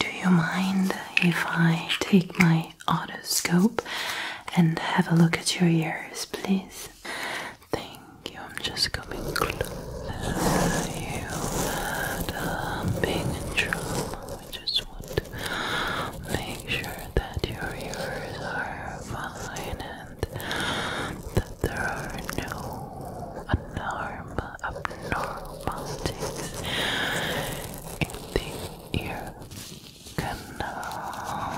Do you mind if I take my otoscope and have a look at your ears, please? Thank you. I'm just coming close. You had a big trouble. We just want to make sure that your ears are fine and that there are no alarm abnormalities in the ear canal.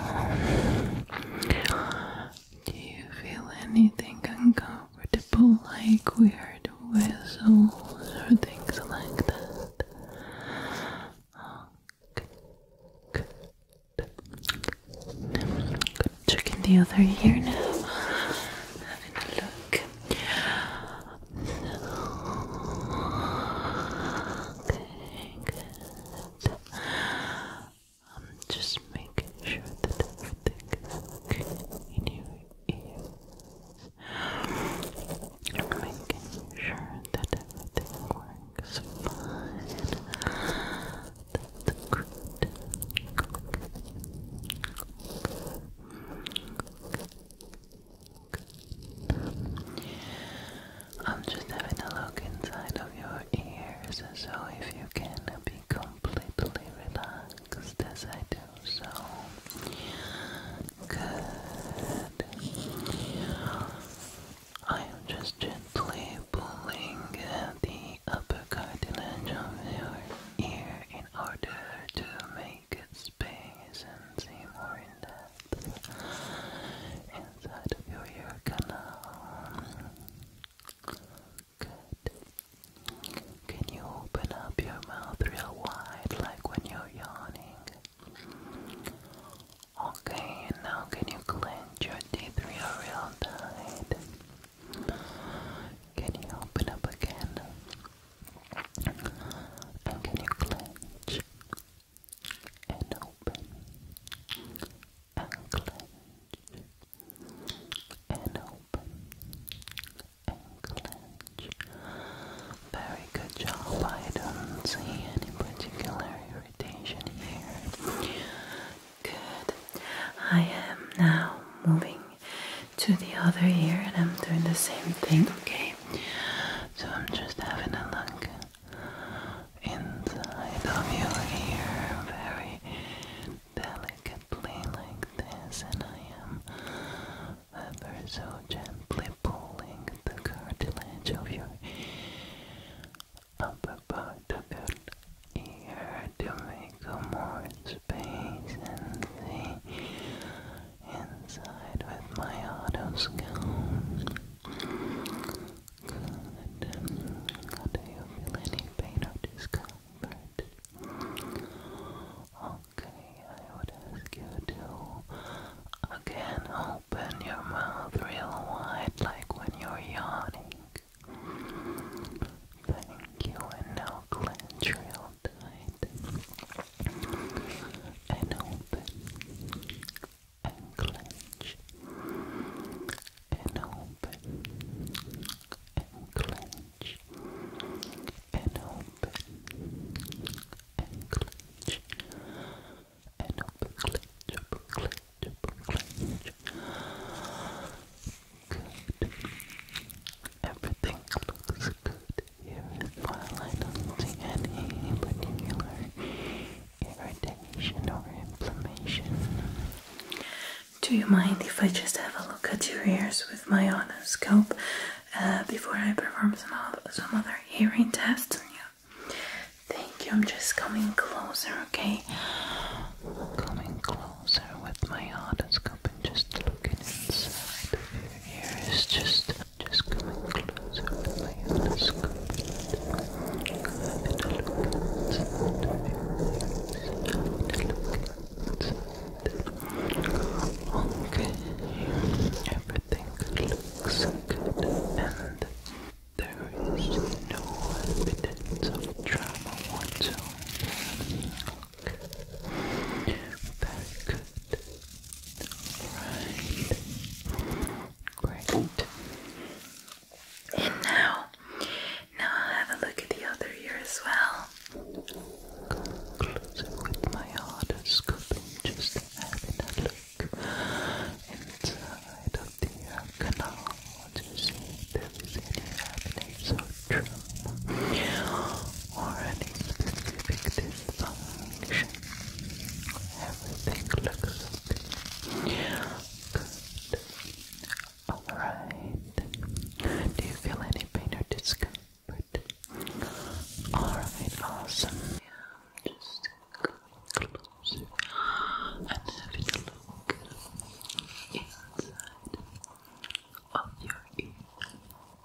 Do you feel anything uncomfortable, like weird whistles or things like that? Good. Good. Good. Check in the other ear now. Having a look. Okay, good. I'm um, just making sure that everything okay in your ears. making sure that everything works fine. That's good. I'm just having a look inside of your ears, so if you can be completely relaxed as I do so. Good. I am just gently pulling the upper cartilage of your ear in order to make naked space and see more in depth inside of your ear canal. Good. Can you open up your mouth real wide like when you're yawning? Okay, and now can you clench your teeth real tight? Can you open up again? And can you clench and open and clench and open and clench? Very good job. I don't see any particular irritation here. Good. I am now moving to the other ear, and I'm doing the same thing, okay? So I'm just having a look inside of your ear very delicately, like this, and I am ever so gently pulling the cartilage of your upper part of your ear to make more space and the inside with my auto Good. do you feel any pain or discomfort? Okay, I would ask you to again open your mouth real wide like when you're yawning. Thank you, and now clench real all open and clench and open and clench and open and clench and open clench open clench clench everything looks good while I don't see any particular irritation or inflammation. Do you mind if I just have a look at your ears with my otoscope uh, before I perform some, some other hearing tests on you? Thank you, I'm just coming closer, okay? Coming closer with my otoscope and just looking inside your ears, just just coming closer with my endoscope and having a Okay, everything looks good and there is no evidence of trauma whatsoever. Okay. Alright. Great. And now, now i have a look at the other ear as well. Closer with my otoscope just having a look inside of the canal to see if there is any evidence or any specific function. Everything looks good. Alright. Do you feel any pain or discomfort? Alright, awesome. Yeah, just come and having a look inside of your ear.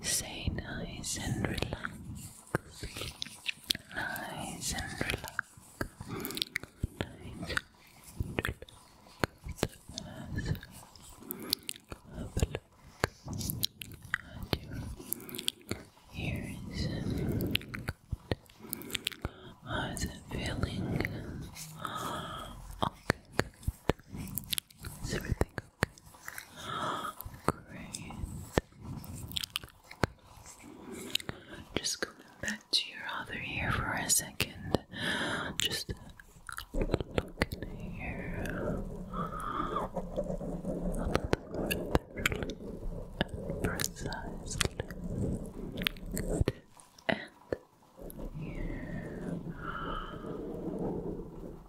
Say nice and relax. Nice and relax. Nice and relax. Have a look at your ears. How's it feeling? Okay, good. Is everything Great. Just going back to your other ear for a second. Just look in here. Precisely. Good. And here. Been having a long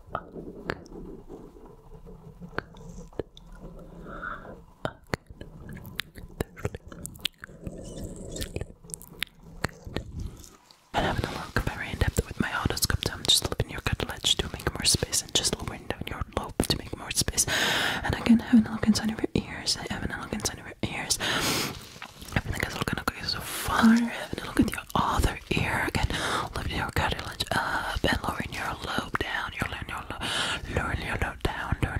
very in depth with my horoscope, so I'm just looping your cartilage to make more space, and just lowering down your lobe to make more space. And again, having a look inside of your ears, I'm having a look inside of your ears. Everything is looking okay so far. Having a look at your other ear again, lifting your cartilage up and lowering your lobe down lower your love down, lower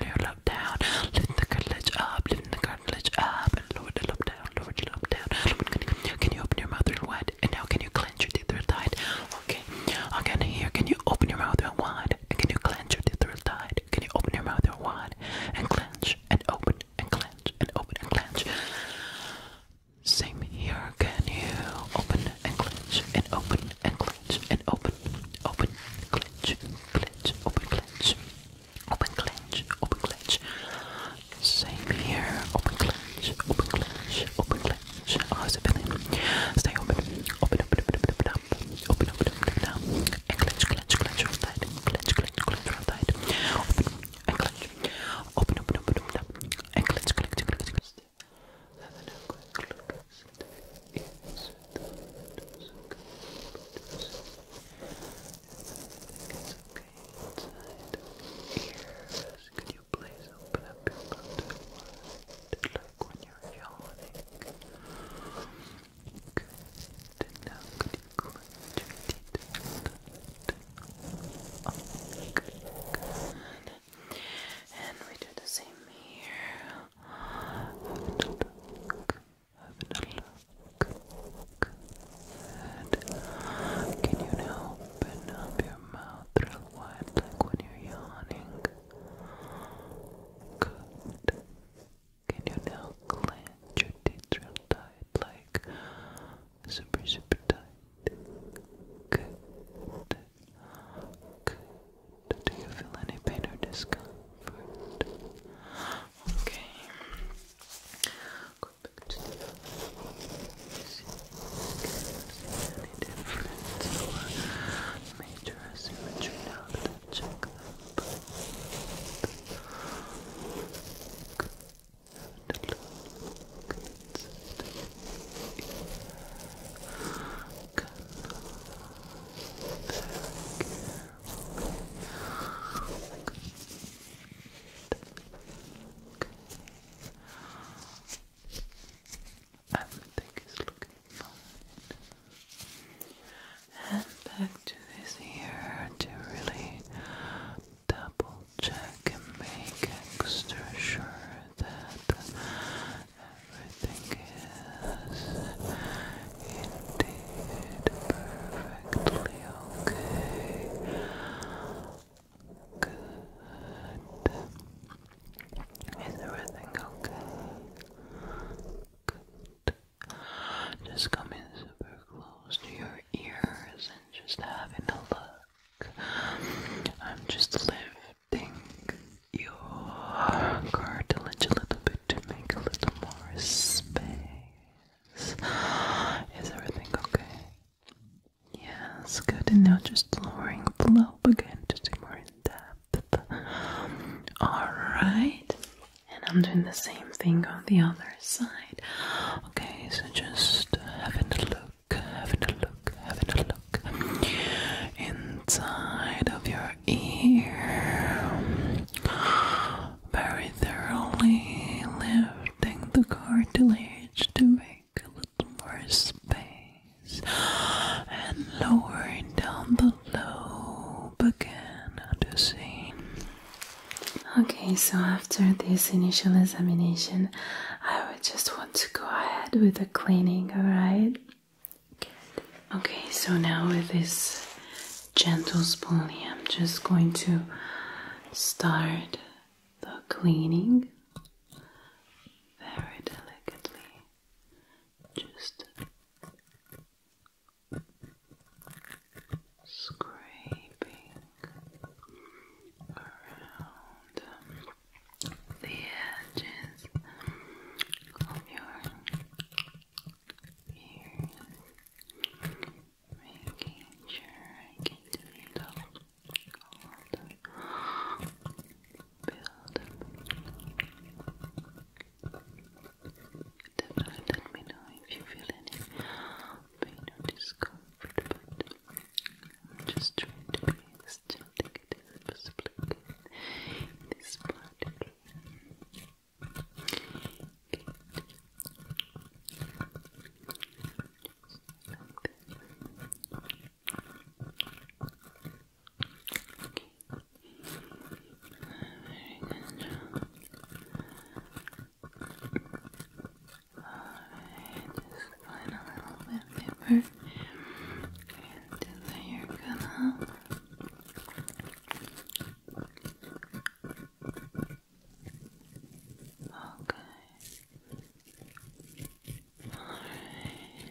your love down, lift the cartilage up, lift the cartilage up, lower the love down, lower the love down. Can you open your mouth real wide? And now can you clench your teeth real tight? Okay. Again here, can you open your mouth real wide? And can you clench your teeth real tight? Can you open your mouth real wide? And clench and open and clench and open and clench. Same here. Can you open and clench and open and clench and open, open, clench, clench, open, clench, open, clench, open, clench. Same here. Open, clench, open, clench, open, clench. How's it feeling? Stay open, open, open, open, open, up, open, open, open, up, and clench, clench, clench, roll tight, clench, clench, clench, roll tight, open and clench, open, open, open, open, up, and clench, clench, clench just having a quick look at the ears inside Could you please open up your mouth wide, like when you're yawning? now could you clench your teeth? Good. And we do the same here. Good. Can you now open up your mouth real wide like when you're yawning? Good. Can you now clench your teeth real tight like super super tight? Good. Good. Do you feel any pain or discomfort? Okay. Go back to the see any difference or major I check them both. Good. Good. Everything is looking fine. And back to this ear to really double check and make extra sure that Everything is indeed perfectly okay. Good. Is everything okay? Good. Just come super close to your ears and just having a look. just lifting think your cartilage a little bit to make a little more space. Is everything okay? Yes, good. And now just lowering the again to more in depth. Alright. And I'm doing the same thing on the other side. Okay, so just having a look having a look, having a look inside of your ear. Very thoroughly lifting the cartilage to make a little more space and lowering down the lobe again to see. Okay, so after this initial examination, I would just want to go ahead with the cleaning, alright? Okay, so now with this gentle spoolie, I'm just going to start the cleaning very delicately. Just scraping around the edges of your ears, making sure I get the middle the build Definitely let me know if you feel any pain or discomfort, I'm just trying to be as gentle as possible in this part. Okay. Very good Alright, just line a little bit of and then you're gonna okay all right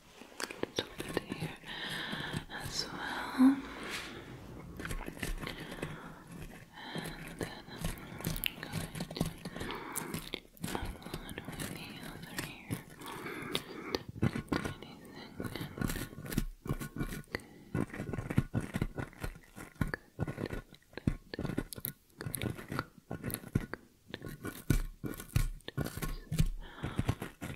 Get some of as well. And then I'm going to align with the other here. do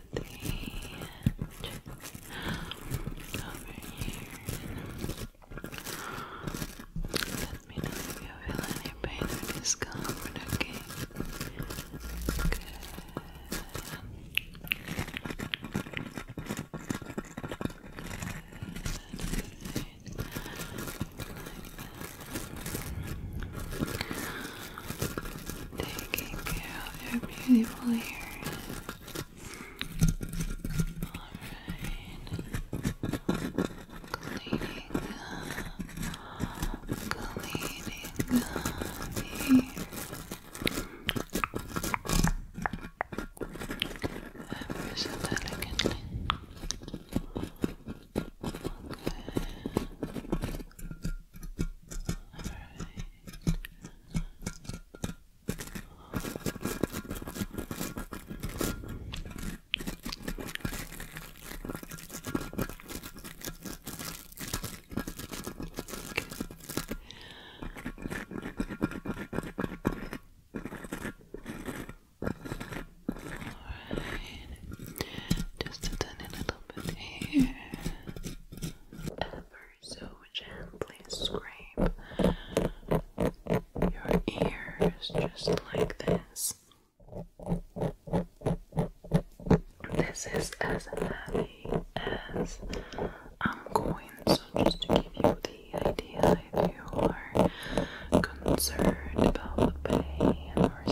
the over here. Let me know if you feel pain or discomfort, okay? Good taking care of your beautiful hair. Alright. Cleaning Cleaning up here. Ever so delicately. Okay. Alright. Alright. Just to turn little bit here so gently scrape your ears just like this. This is as heavy as I'm going, so just to give you the idea if you are concerned about the pain or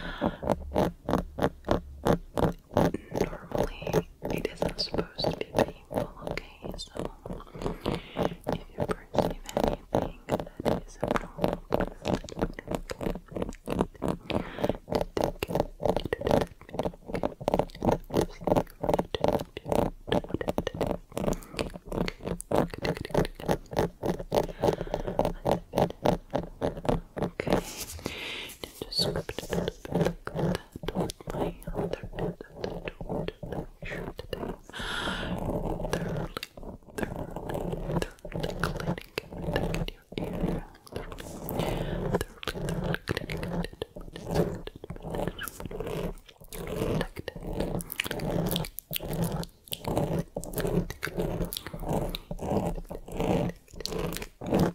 something normally it isn't supposed to be painful, okay? So if you perceive anything that is abnormal, Okay, to just scrub it a bit back like that with my other end of the tool to make sure that I'm thoroughly, thoroughly, thoroughly cleaning everything in your area. Thoroughly, thoroughly, thoroughly cleaning it. Like that. Like that.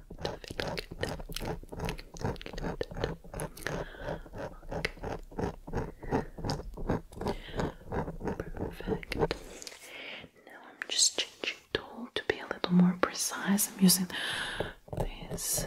Perfect. Now I'm just changing tool to be a little more precise. I'm using this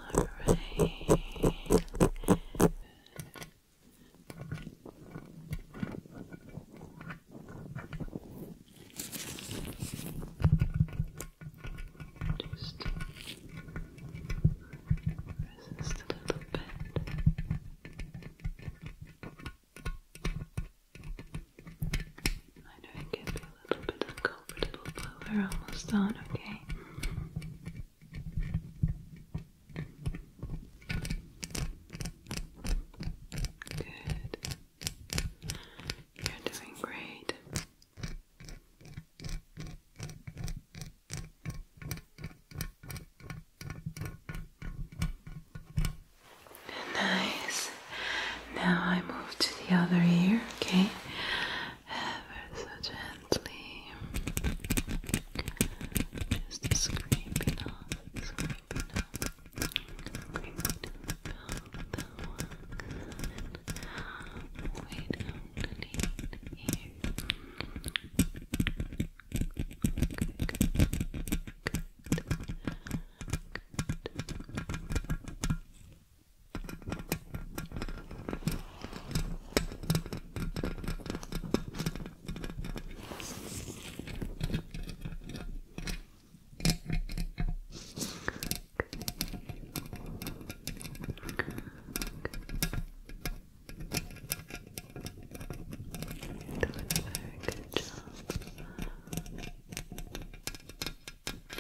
Alright. Just resist a little bit. I know it can be a little bit of comfortable We're almost done, okay? Good. You're doing great. Nice. Now I move to the other ear, okay? ever so gently. Just scraping off, scraping off, scraping off the one. Wait underneath here. Good, good, good, good. Doing a very good job. Okay. Yeah.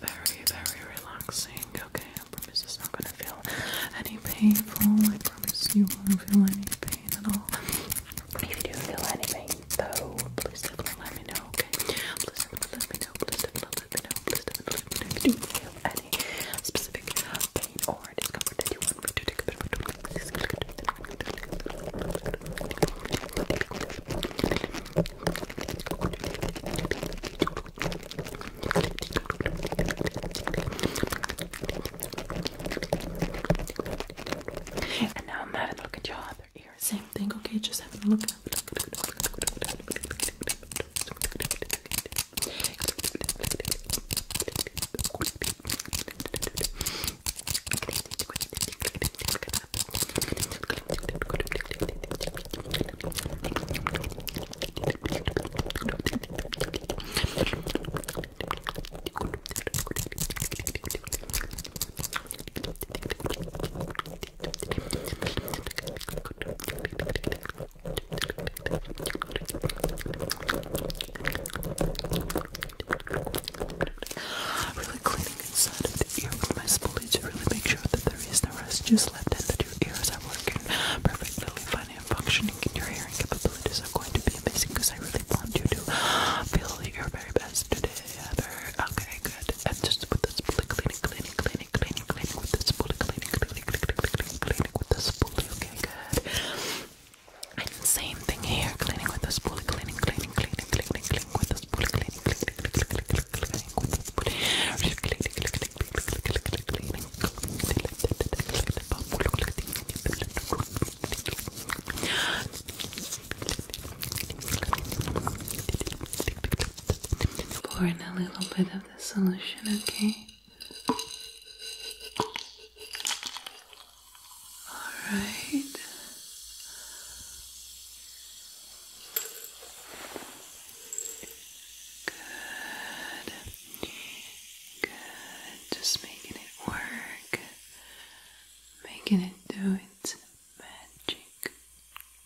Very, very relaxing. Okay, I promise it's not gonna feel any painful. I promise you won't feel any pain at all. If you do feel any though, please let me know, okay? Please let me know, please let know, any specific pain or discomfort that you want me to take a bit of and now I'm having a look at your heart. Same thing, okay? Just have a look. Really cleaning inside of the ear with my spoolie to really make sure that there is no residues left and that your ears are working perfectly fine and functioning. And your hearing capabilities are going to be amazing because I really want you to feel your very best today ever. Okay, very good. And just with this spoolie, cleaning, cleaning, cleaning, cleaning, cleaning with this spoolie, cleaning, cleaning, cleaning, cleaning, cleaning with this spoolie. Okay, good. And same thing here, cleaning with this spoolie, cleaning, cleaning, cleaning, cleaning, cleaning with this spoolie, cleaning, cleaning, cleaning, cleaning, cleaning with this spoolie pour in a little bit of the solution, okay? Alright. Good. Good. Just making it work. Making it do its magic.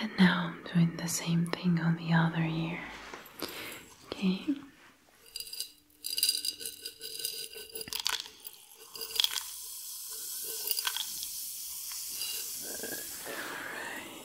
And now I'm doing the same thing on the other ear. Okay. All right.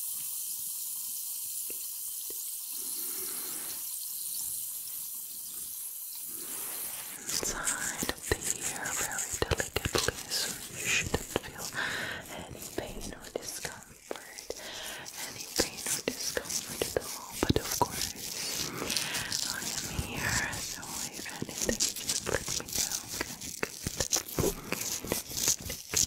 Inside of the ear very delicately so you shouldn't feel any pain or discomfort. Any pain or discomfort at all, but of course I am here, so if anything just let me know, okay? Good. Good. Good.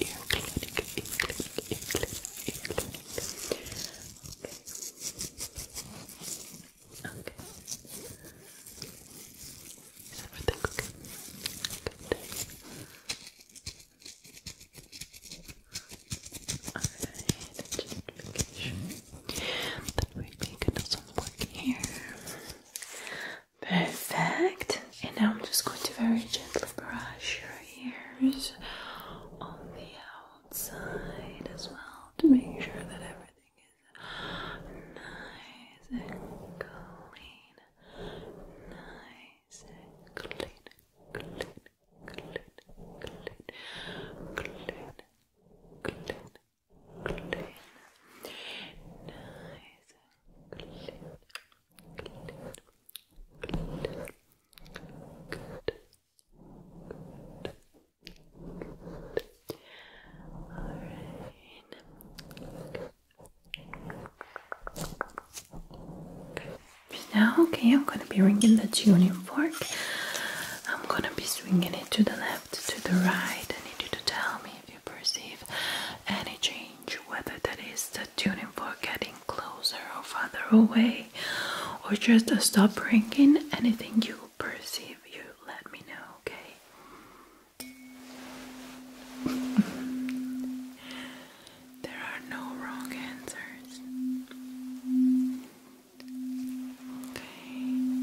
ear clinic, Okay. Okay. Is everything okay? Good. Alright, just make sure that we're making some work here. Perfect. And now I'm just going to very gently brush your ears on the outside as well to make sure that everything is nice and clean. Nice and clean, clean, clean, clean, clean, clean, clean. clean Good. Good. Now, okay, I'm gonna be ringing the tuning fork. I'm gonna be swinging it to the left, to the right. I need you to tell me if you perceive any change whether that is the tuning for getting closer or farther away, or just a stop ringing, anything you perceive, you let me know, okay? there are no wrong answers. Okay.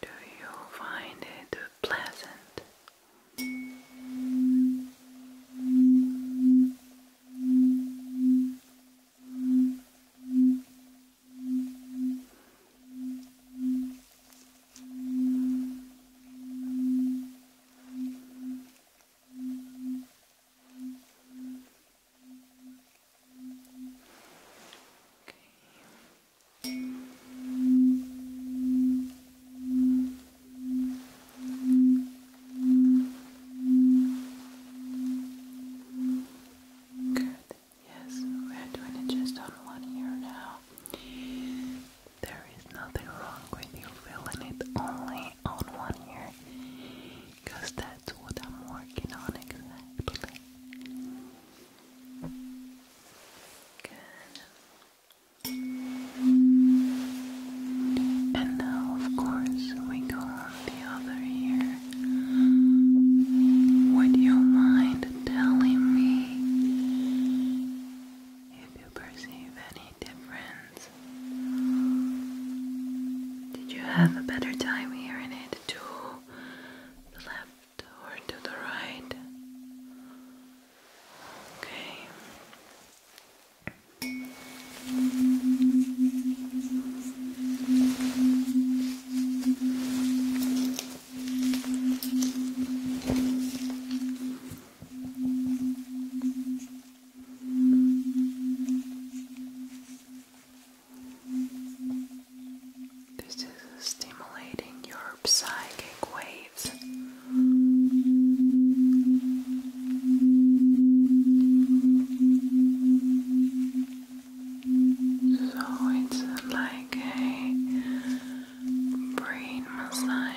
Do you find it pleasant? Okay. Good. Yes, we're doing it just on one ear now. There is nothing wrong with you feeling it only on one ear, because that's what I'm working on exactly. Good. And now, of course, we go on the other ear with your mind telling me if you perceive any did you have a better time here in it to the left or to the right? Okay. This is stimulating your psychic waves. So it's like a brain massage.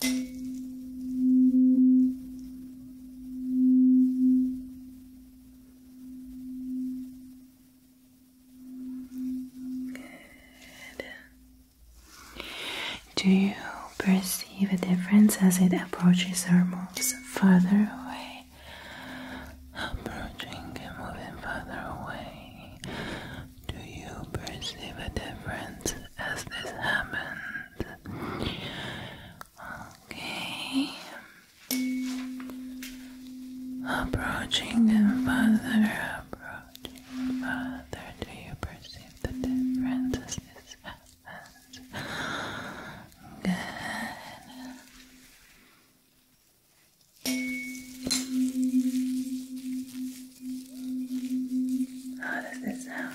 Good. Do you perceive a difference as it approaches or moves further away? Approaching and moving further away. Do you perceive a difference as this happens? Okay. Approaching them further, approaching further. Do you perceive the difference as this Good. How does it sound?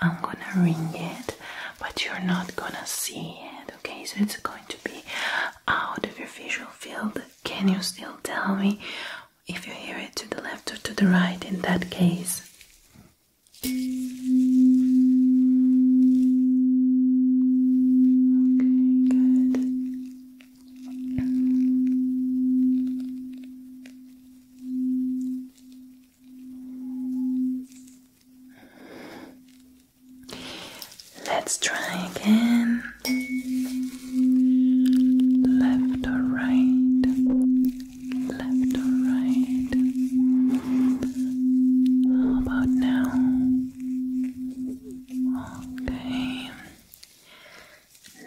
I'm gonna ring it, but you're not gonna see it, okay? So it's going to be out of your visual field. Can you still tell me if you hear it to the left or to the right in that case? Okay, good. Let's try again. Left or right, left or right. How about now? Okay,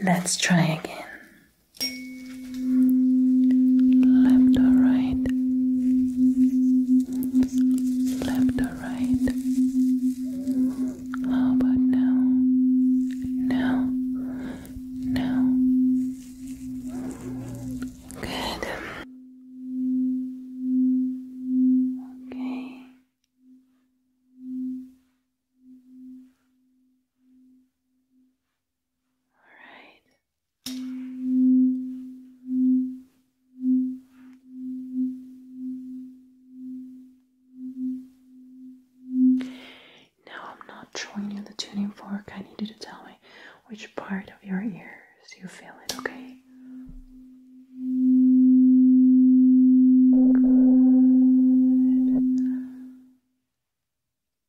let's try again left or right, left or right. How about now? Now, now. Good. Okay. All right. Now I'm not showing you the tuning fork. I need you to tell me which part of your ears you feel it, okay?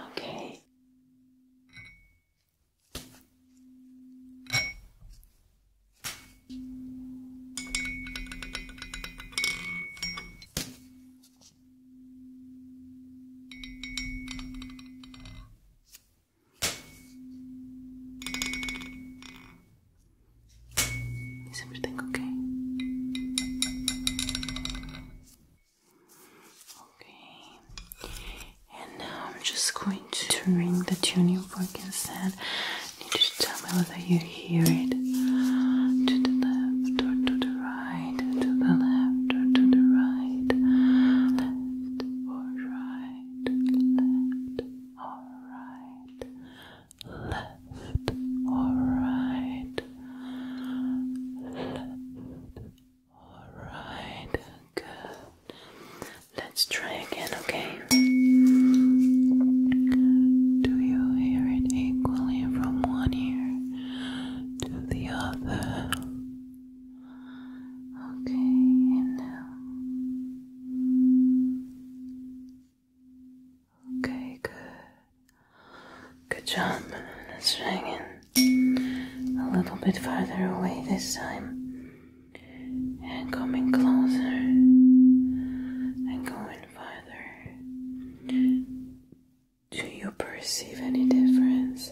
Okay. Is everything okay? Okay. And now I'm just going to ring the tuning fork instead. I need to tell whether you hear it. To the left or to the right, to the left or to the right, left or right, left or right, left or right, Alright, good. Let's try again, okay? Do you hear it equally from one ear to the other? Okay, and Okay, good. Good job. Let's A little bit farther away this time. And coming closer. And going further. Do you perceive any difference?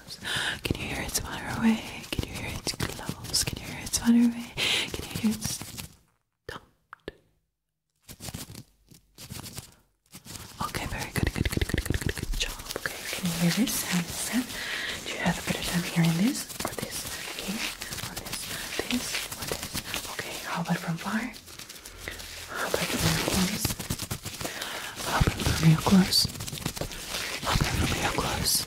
gloves? Can you hear it's far away? Can you hear it's gloves? Can you hear it's far away? Can you hear it's dumped? Okay, very good, good, good, good, good, good, good job. Okay, can you hear this sound? sound? Do you have a better time hearing this or this? Okay, or this, this, or this? Okay, how about from far? How about from your close? How about from your close? How about from your close?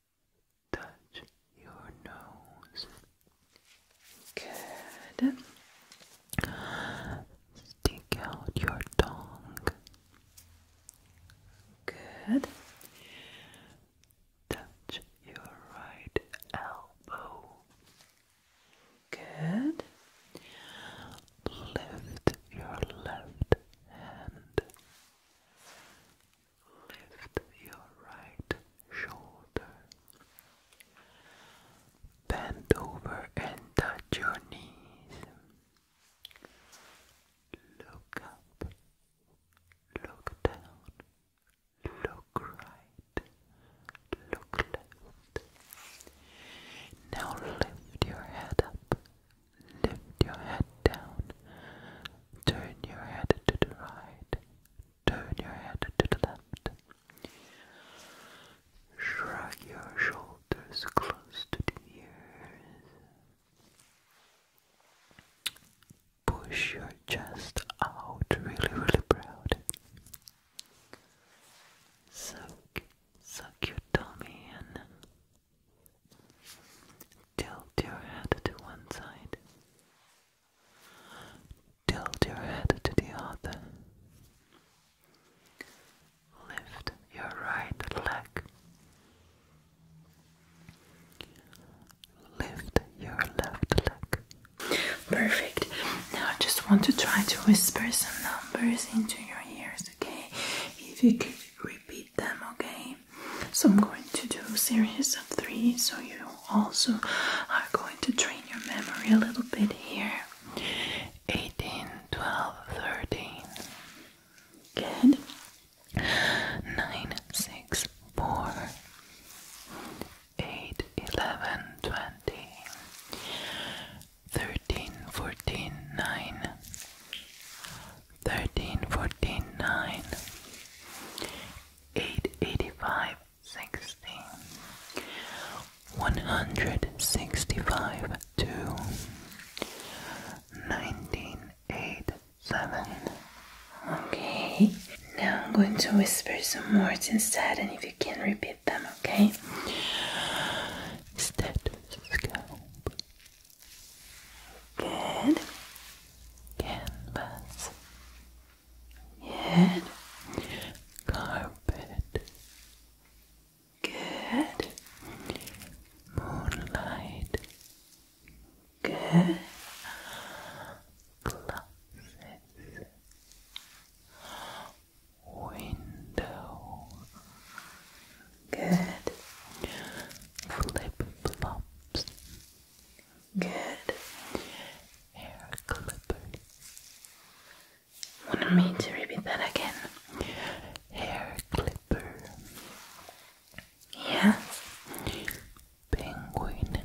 touch your nose. Good. Stick out your tongue. Good. Touch your right elbow. Good. Lift your left hand. Lift your right shoulder. Bend over and touch your knees. Look up. Look down. Look right. Look left. Now lift your head up. Lift your head down. Turn your head to the right. Turn your head to the left. Shrug your shoulders close to the ears. Push your chest out really, really proud. Suck, suck your tummy in. Tilt your head to one side. Tilt your head to the other. Lift your right leg. Lift your left leg. Perfect. Now I just want to try to whisper some numbers into your ears, okay? If you could repeat them, okay? so I'm going to do a series of three, so you also are going to train your memory a little bit here. 18, 12, 13. Good. 9, 6, 4, 8, 11, 20, 13, 14, 9, 13, 14, 9, 885 16 165 Okay, now I'm going to whisper some words instead and if you can repeat them, okay? Stethoscope Good Canvas Good. Carpet. Good. Moonlight. Good. Glasses. Window. Good. Flip flops. Good. Hair clipper. Want me to repeat that again? Hair clipper. Yes. Penguin.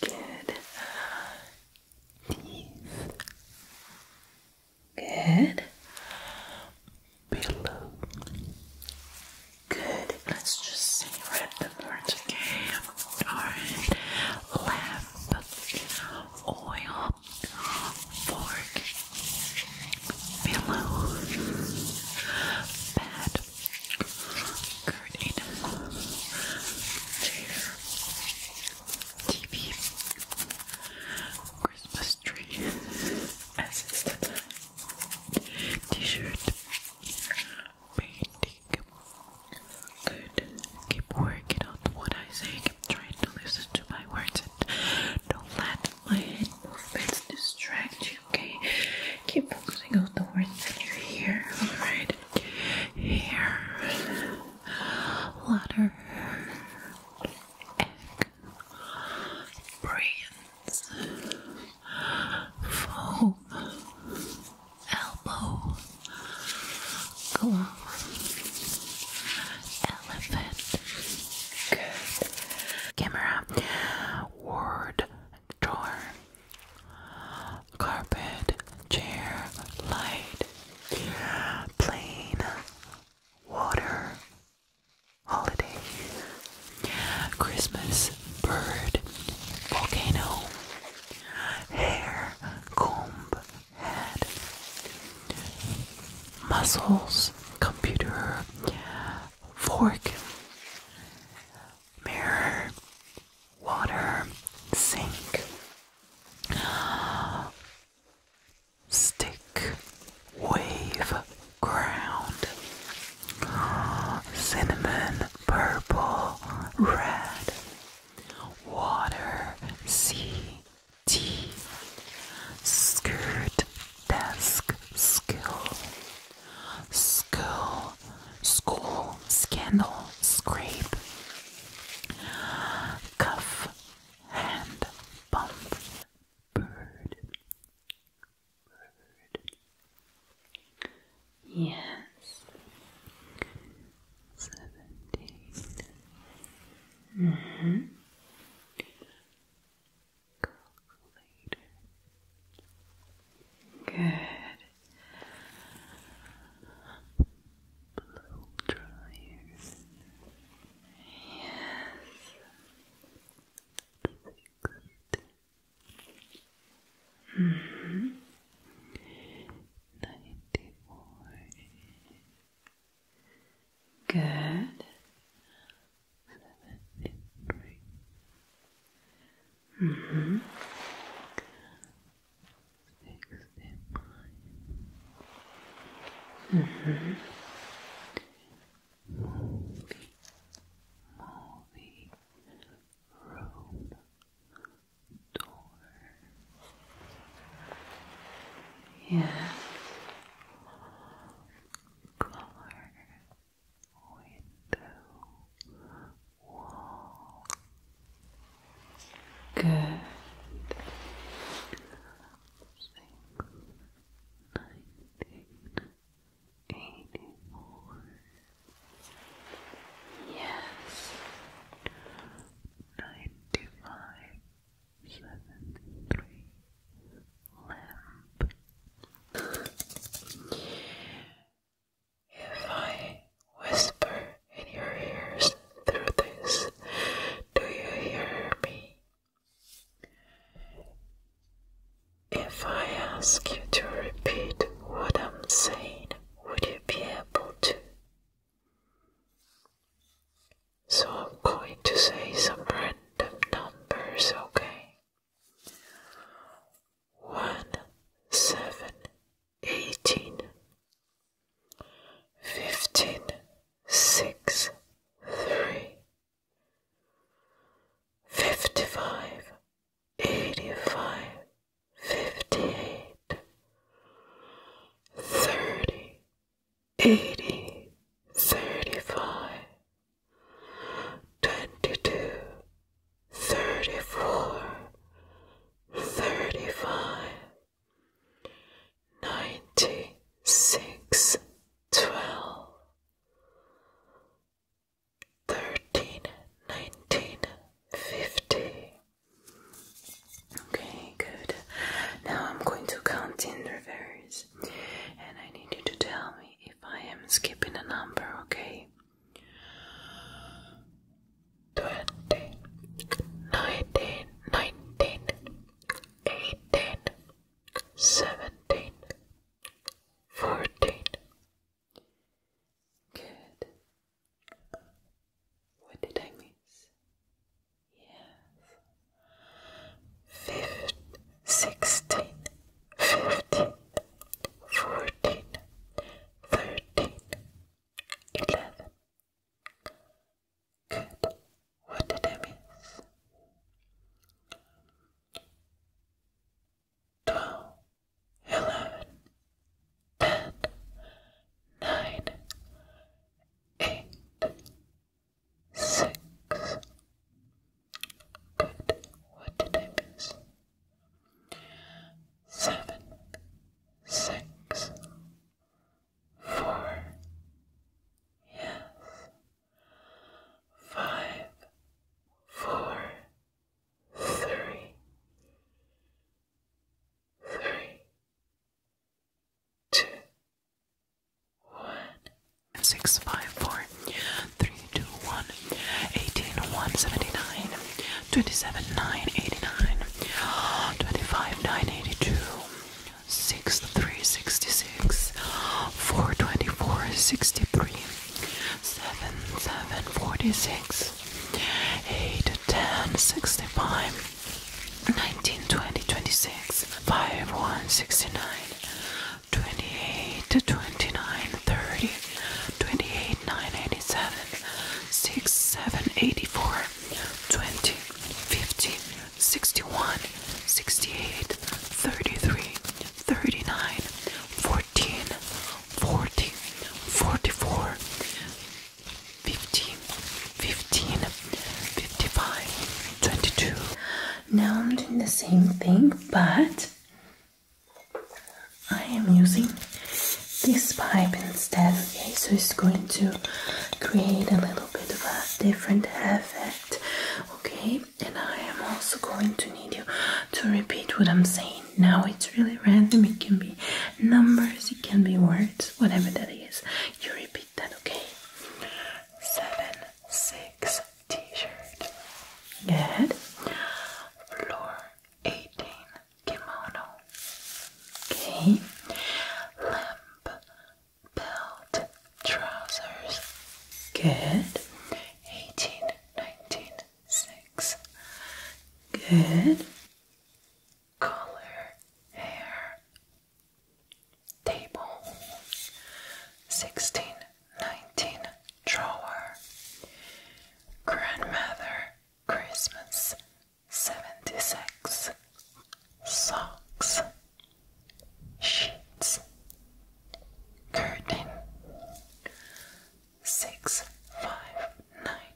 Good. Teeth. Good. Pillow. Good. Let's just see red the words again. Alright. Lamp, oil, fork, pillow, bed, curtain, chair, TV, Christmas tree, assistant, t painting. Good. Keep working on what I say. Keep trying to listen to my words and don't let my head movements distract you, okay? Keep focusing on the words that you hear, alright? Hair, letter, egg, brain, foam elbow glove elephant camera ward drawer carpet chair light plane water holiday Christmas bird, volcano, hair, comb, head, muscles, computer, fork, mirror, water, sink, stick, wave, ground cinnamon, purple, red, water, sea, tea, skirt, desk, skill, skill, school, scandal, scrape, cuff, hand, bump, bird, Mm-hmm. Good. Yes. Seventeen. hmm. Calculator. Good. Blow dryers. Yes. Ninety-four. Good. Seventy-three. Mm hmm. Sixty-five. Mm hmm. Movie. Movie room door. Yes, color window wall. Good. Six, nineteen, 84 yes 95 lamp if I whisper in your ears through this do you hear me if I ask you to repeat what I'm saying, would you be able to? So I'm going to say some random numbers, okay? One, seven, eighteen, fifteen, six, three, fifty-five, eighty-five. Fifty, thirty, eighty, thirty-five, twenty-two, thirty-four, thirty-five, ninety-six, twelve thirteen nineteen fifty. Okay, good. Now I'm going to count in reverse, and I need you to tell me if I am skipping a number, okay? Twenty, nineteen, nineteen, eighteen, seventeen, fourteen, Good. What did I miss? Yes. Fifth, sixteen, fifteen, fourteen, thirteen, eleven. Good. What did I miss? twelve, eleven, ten, nine, eight, six. Good. What did I miss? Seven, six, four. Yes. Five, four, three, three, two, one, six, five, four, three, two, one, eighteen, one, seventy-nine, twenty-seven, nine, eighty-nine, twenty-five, nine, eighty-two, six, three, sixty-six, four, twenty-four, sixty-three seven, seven, forty-six, eight, ten, sixty-five, nineteen, twenty, twenty-six, five, one, sixty-nine, twenty-eight, twenty-nine, thirty, twenty-eight, nine, eighty-seven, six, seven, eighty-four, twenty, fifty, sixty-one, sixty-eight, thirty-three, thirty-nine, forty. 13, 44, 50, 15, 55, 22. Now I'm doing the same thing, but I am using this pipe instead, okay? So it's going to create a little bit of a different effect, okay? And I am also going to need you to repeat what I'm saying now it's really random. It can be numbers, it can be words, whatever that is. You repeat that, okay? Seven, six, t shirt. Good. Floor, 18, kimono. Okay. Lamp, belt, trousers. Good. 18, 19, six. Good. Color, hair, table, sixteen, nineteen, drawer, grandmother, Christmas, seventy-six, socks, sheets, curtain, six, five, nine.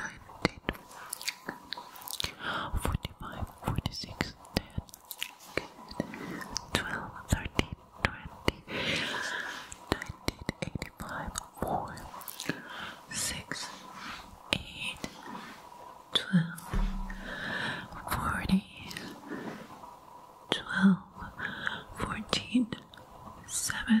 19, 45, 46, 10, 12, 13, 20, 19, 85, 4, 6, 8, 12, 40, 12, 14, 7,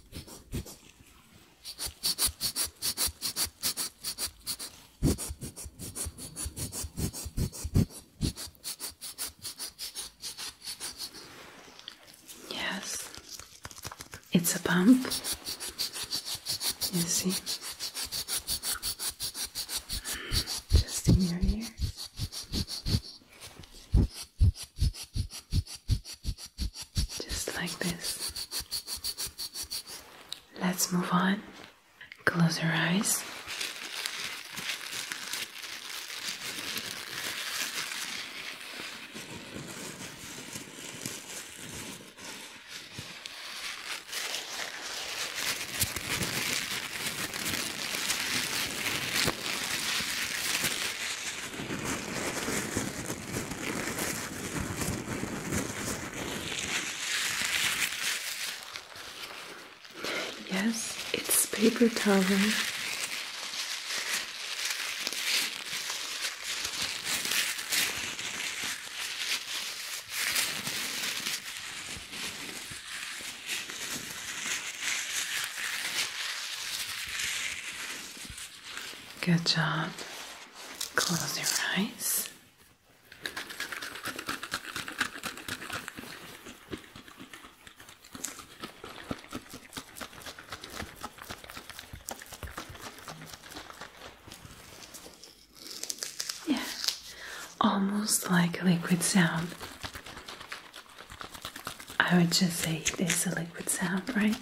Yes, it's a bump. You see, just in your just like this. Let's move on. Close your eyes. Yes, it's paper towel. Good job. Close your eyes. Yeah, almost like a liquid sound. I would just say it is a liquid sound, right?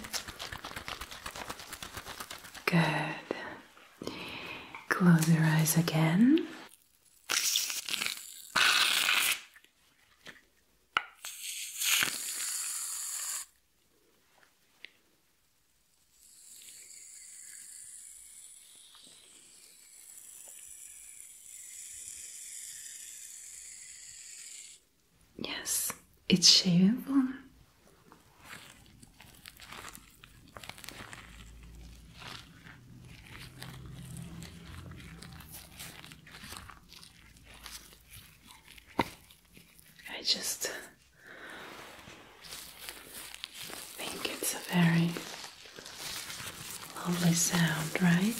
Good. Close your eyes again. Yes, it's shavable. I just think it's a very lovely sound, right?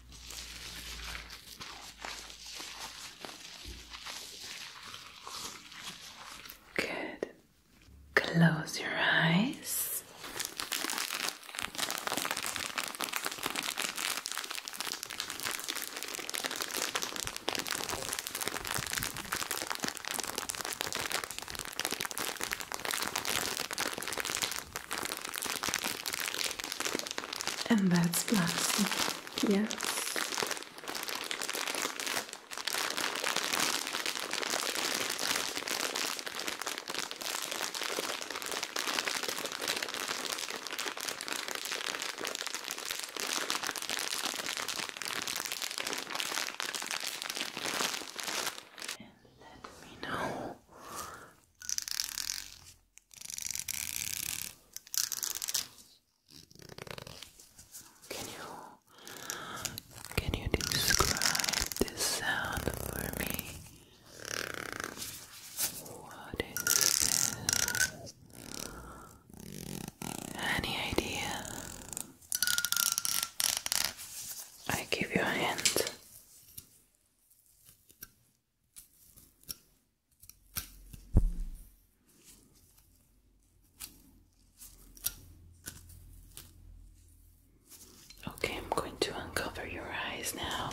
Good. Close your eyes. And that's plastic, yes. And let me know can you can you describe this sound for me? What is this? Any idea? I give you a hint. Okay, I'm going to uncover your eyes now.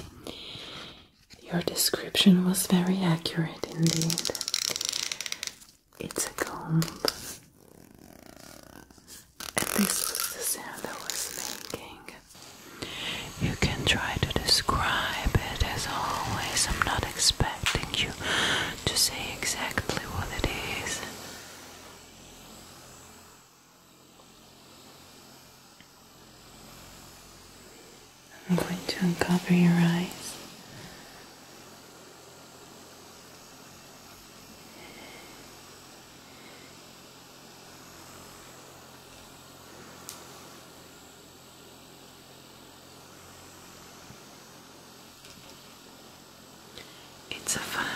Your description was very accurate indeed. It's a comb. And this was the sound I was making. You can try to describe it as always. I'm not expecting you to say exactly what it is. I'm going to uncover your eyes. It's a fun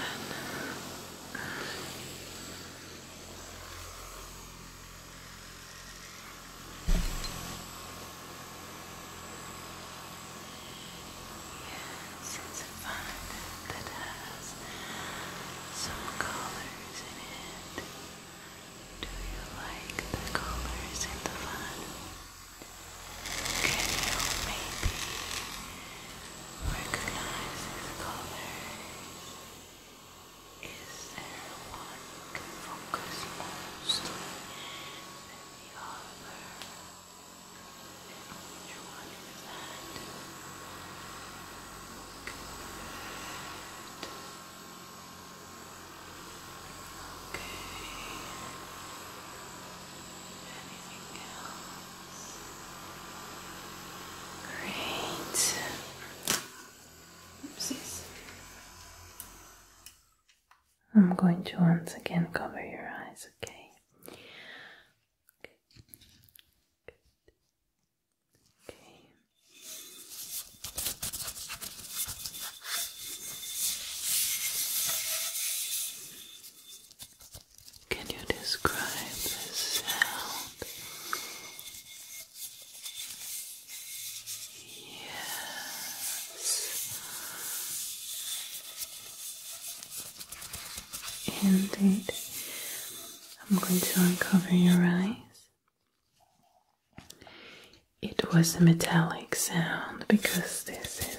Yes, it's a fun that has some colors in it. Do you like the colors in the fun? Can you maybe recognize these colors? Is there one you can focus mostly than the other? And which one Good. Anything else? Great. Oopsies. I'm going to once again cover your eyes, okay? Can you describe the sound? Yes. Indeed. I'm going to uncover your eyes. It was a metallic sound because this is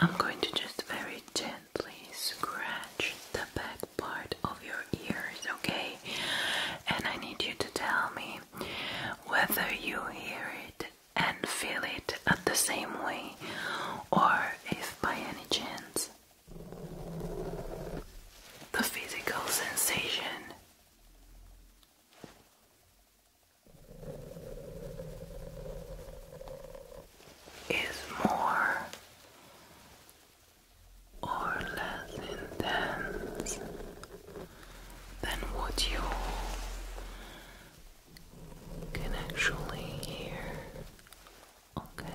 I'm going to just very gently scratch the back part of your ears, okay? And I need you to tell me whether you hear it and feel it at the same way or if by any chance the physical sensation is more or less intense than what you can actually hear. Okay.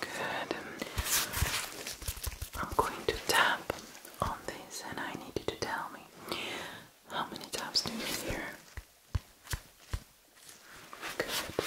Good. I'm going to tap on this, and I need you to tell me how many taps do you hear? Good.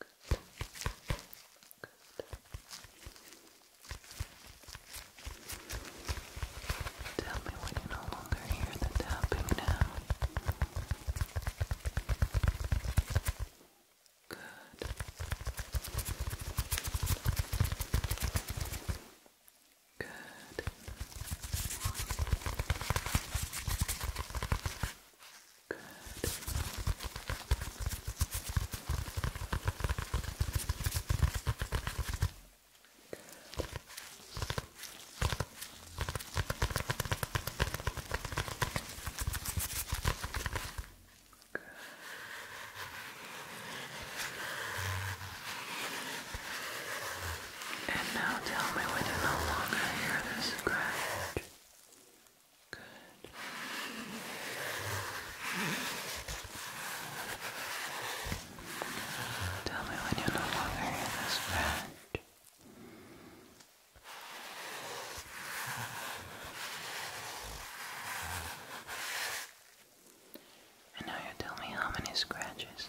Good. Tell me when you no longer hear the tapping now. Good. Good. Good. And now tell me when you no longer hear this scratch. Good. Tell me when you're no longer in this branch. And now you tell me how many scratches.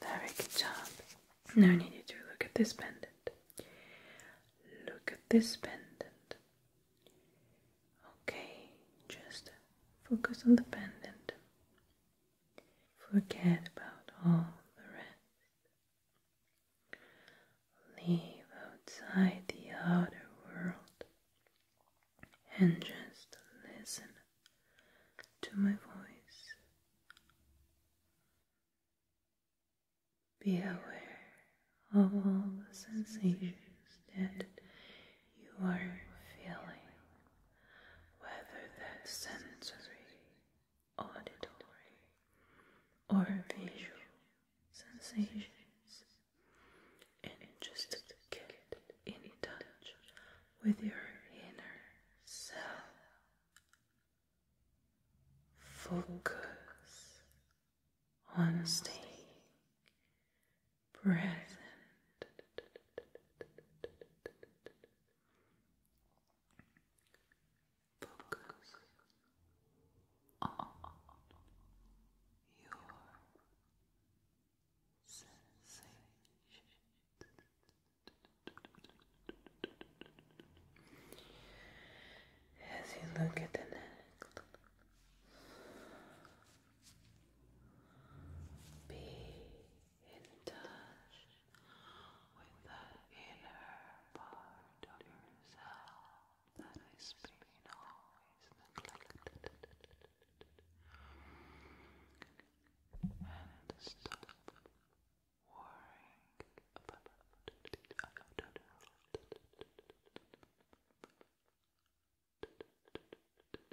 Very good job. Now need to look at this pendant. Look at this pendant. Okay, just focus on the pendant. Forget about all the rest. Leave outside the outer world and just listen to my voice. Be aware of all the sensations that you are feeling whether that's sensory, auditory, or visual sensations, and just get in touch with your inner self. Focus on staying present Focus on your sensations. As you look at the neck, be in touch with that inner part of yourself that has always neglected. And stop worrying about